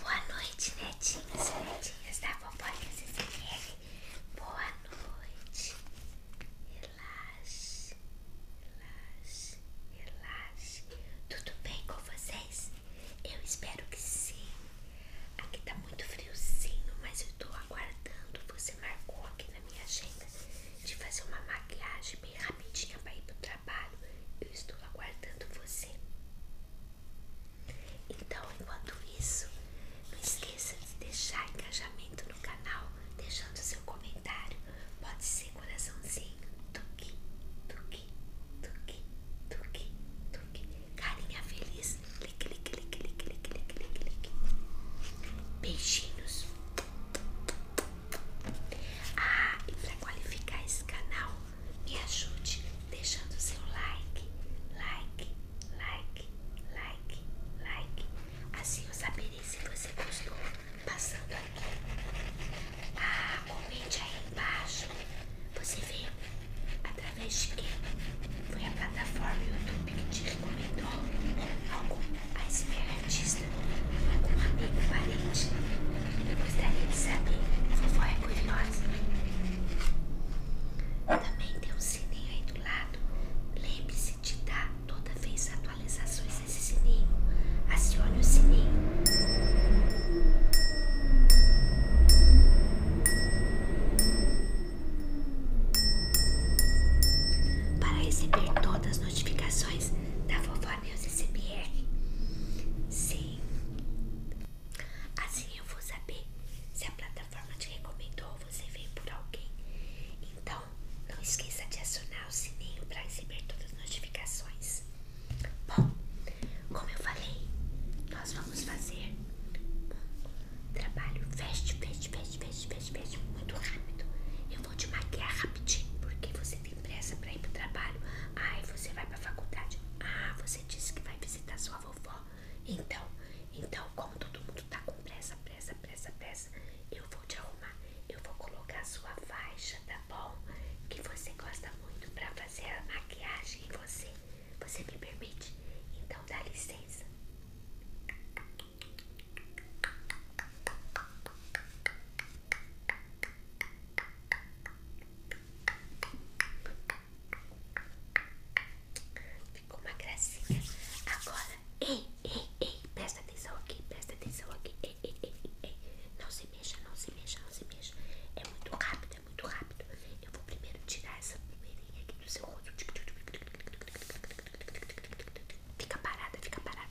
Boa noite, netinhas, netinhas da Popolinha CCR. Boa noite. Relaxe, relaxe, relaxe. Tudo bem com vocês? Eu espero que sim. Aqui tá muito friozinho, mas eu tô aguardando. Você marcou aqui na minha agenda de fazer uma maquiagem bem rapidinha pra ir pro trabalho. Eu estou aguardando você. Então, enquanto isso, não esqueça de deixar engajamento no canal, deixando seu comentário. Pode ser coraçãozinho, tuque, tuque, tuque, tuque, tuque. Carinha feliz, clique, clique, clique, clique, clique, clique, clique. Beijinhos. Ah, e para qualificar esse canal, me ajude deixando seu like, like, like, like, like. Assim eu saberei se você gostou passando aqui. Ah, comente aí embaixo. Você viu através de quê? Foi a plataforma YouTube que te recomendou algum a iceberg artista, algum amigo parente. Eu gostaria de saber, vovó é curiosa. Também tem um sininho aí do lado. Lembre-se de dar toda vez atualizações desse sininho. Acione o sininho. Para receber todas as notificações da vovó News SBR. Sim. Assim eu vou saber se a plataforma te recomendou ou você veio por alguém. Então, não esqueça de acionar o sininho para receber todas as notificações. Bom, como eu falei, nós vamos fazer um trabalho fast, fast, fast, fast, fast, fast, muito rápido. Eu vou te maquiar rapidinho, porque você tem pressa para ir para o trabalho. aí você vai para a faculdade. Ah, você você disse que vai visitar sua vovó. Então, então, como todo mundo tá com pressa, pressa, pressa, pressa, eu vou te arrumar. Eu vou colocar sua faixa, tá bom? Que você gosta muito pra fazer a maquiagem em você. Você me permite? Então dá licença. Ficou uma gracinha. Agora, ei, ei, ei, presta atenção aqui, presta atenção aqui. Ei, ei, ei, Não se mexa, não se mexa, não se mexa. É muito rápido, é muito rápido. Eu vou primeiro tirar essa poeirinha aqui do seu rosto. Fica parada, fica parada.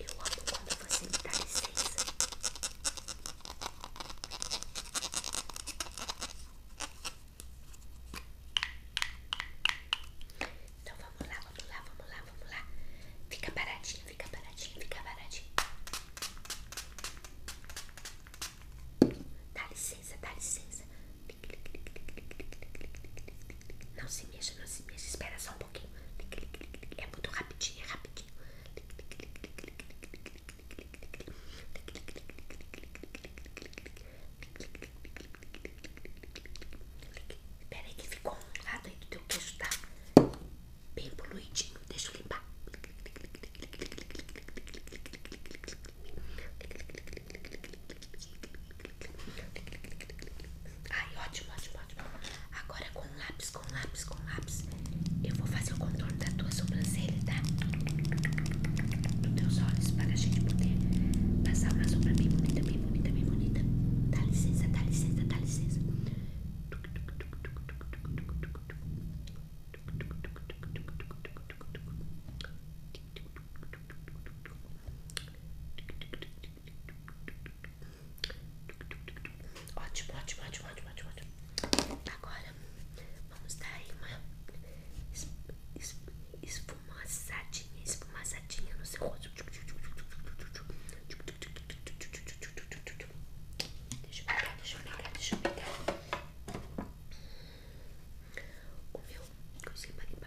Eu amo quando você me dá licença. Então vamos lá, vamos lá, vamos lá, vamos lá. Fica paradinho, fica paradinho, fica paradinho. Dá licença, dá licença. Não se mexa, não se mexa. Espera só um pouquinho. É muito rapidinho, é rapidinho aqui. aí que ficou um lado aí do teu queixo, tá? Bem poluidinho, deixa eu limpar. Ai, ótimo, ótimo. Assim. Agora com lápis, com lápis, com lápis, eu vou fazer o contorno da tua sobrancelha, tá? Dos teus olhos, para a gente poder passar uma sombra bem bonita, bem bonita, bem bonita. Dá licença, dá licença, dá licença. Ótimo, ótimo, ótimo, ótimo, ótimo, ótimo. Agora vamos dar aí uma es, es, esfumaçadinha, esfumaçadinha no seu rosto. Deixa eu pegar, deixa eu pegar, deixa eu pegar. O meu consegui limpar.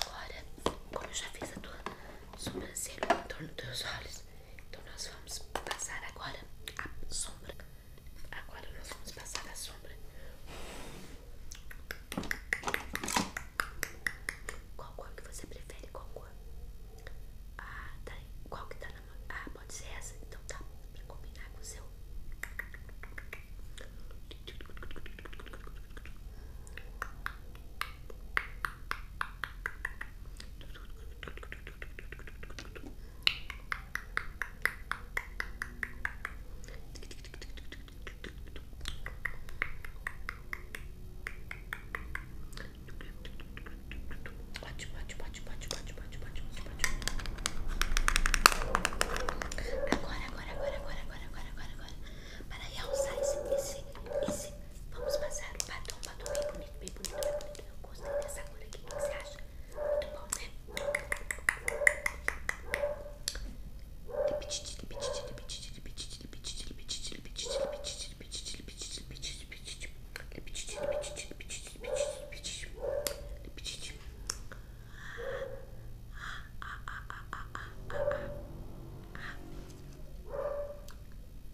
Agora, como eu já fiz a tua sobrancelha em torno dos teus olhos, então nós vamos passar agora a sombra. Agora nós vamos passar a sombra. Qual cor que você prefere? Qual cor? Ah, tá. Qual que tá na mão? Ah, pode ser essa? Então tá. Pra combinar com o seu. Ótimo, ótimo, ótimo, ótimo, ótimo, ótimo, ótimo, ótimo. Agora, agora, agora, agora, agora, agora, agora, agora. Para aí, usar esse, esse, esse. Vamos passar o batom, batom bem bonito, bem bonito, bem bonito. Eu gostei dessa cor aqui, o que você acha? Muito bom, né?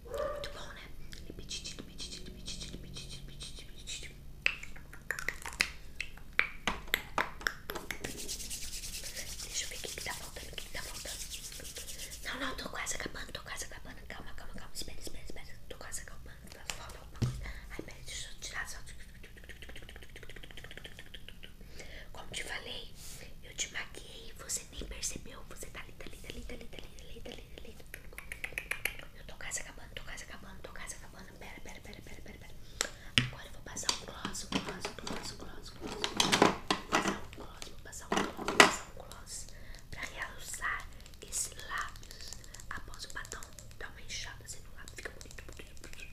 Muito bom, né? Deixa eu ver o que, que tá, tá Não, não, tô quase acabando, tô quase acabando. Calma, calma, calma. Espera, espera, espera. Tô quase acabando. Falta alguma Ai, pera, deixa eu tirar só. Como te falei, eu te maquiei, você nem percebeu. Você tá linda, linda, linda, linda, linda, linda, linda, linda. Eu tô quase acabando, tô quase acabando, tô quase acabando. Pera, pera, pera, pera, pera, pera. Agora eu vou passar um gloss, um gloss, um gloss, um gloss, um gloss. Vou passar um gloss, vou passar um gloss, vou passar um gloss. Pra realçar esses lábios. Após o batom, dá uma enxada assim no lábio, fica bonito, bonito, bonito.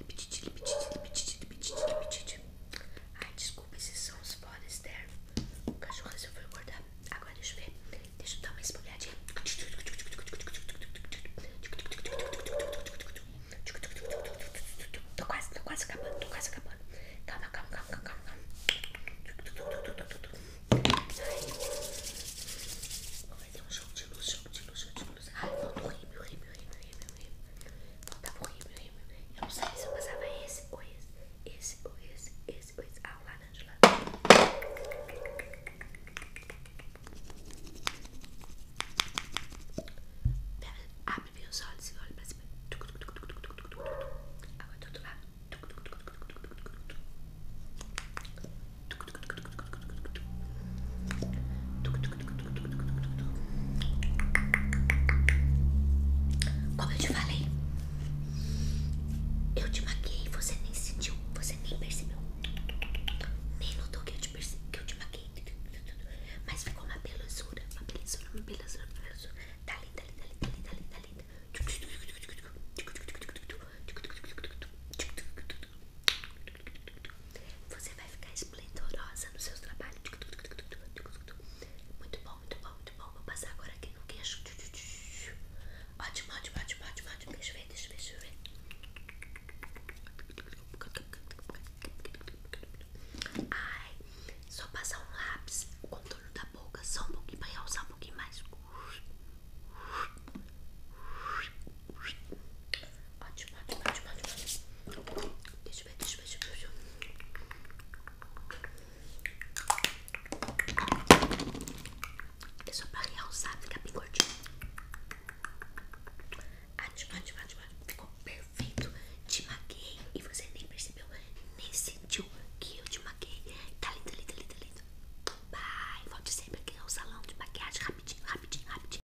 Ai, desculpa, esses são os foda externos. O cachorro resolveu acordar. Agora deixa eu ver. Deixa eu dar uma espolhadinha. Tô quase, tô quase acabando, tô quase acabando. Calma, calma, calma, calma, calma. Ai. Vou fazer um show de luz, show de luz, show de luz. Ai, falta o rímel, rímel, rímel, rímel meu rimo. Eu não sei se eu passava esse ou esse, esse ou esse, esse ou esse. ao lado de lá abre bem os olhos e olha pra cima. Agora tudo outro como eu te falei, eu te maquei, você nem sentiu, você nem percebeu, nem notou que eu te, que eu te maquei, mas ficou uma belezura, uma belezura, uma belezura, uma belezura. Tá linda, linda, linda, linda, linda, linda. Você vai ficar esplendorosa no seu trabalho. Muito bom, muito bom, muito bom. Vou passar agora aqui no queixo. Ótimo, ótimo, ótimo, ótimo, ótimo. Deixa eu ver, deixa eu ver, deixa eu ver. Ai, só passar um lápis, o contorno da boca, só um pouquinho pra realçar um pouquinho mais. Ótimo, ótimo, ótimo, ótimo. Deixa eu ver, deixa eu ver, deixa eu ver. É só pra realçar, fica bem gordinho. Ótimo, ótimo, ótimo. Ficou perfeito. Te maquei e você nem percebeu, nem sentiu que eu te maquei. Tá lindo, tá lindo, tá lindo, tá lindo. Bye. Volte sempre aqui ao salão de maquiagem rapidinho, rapidinho, rapidinho.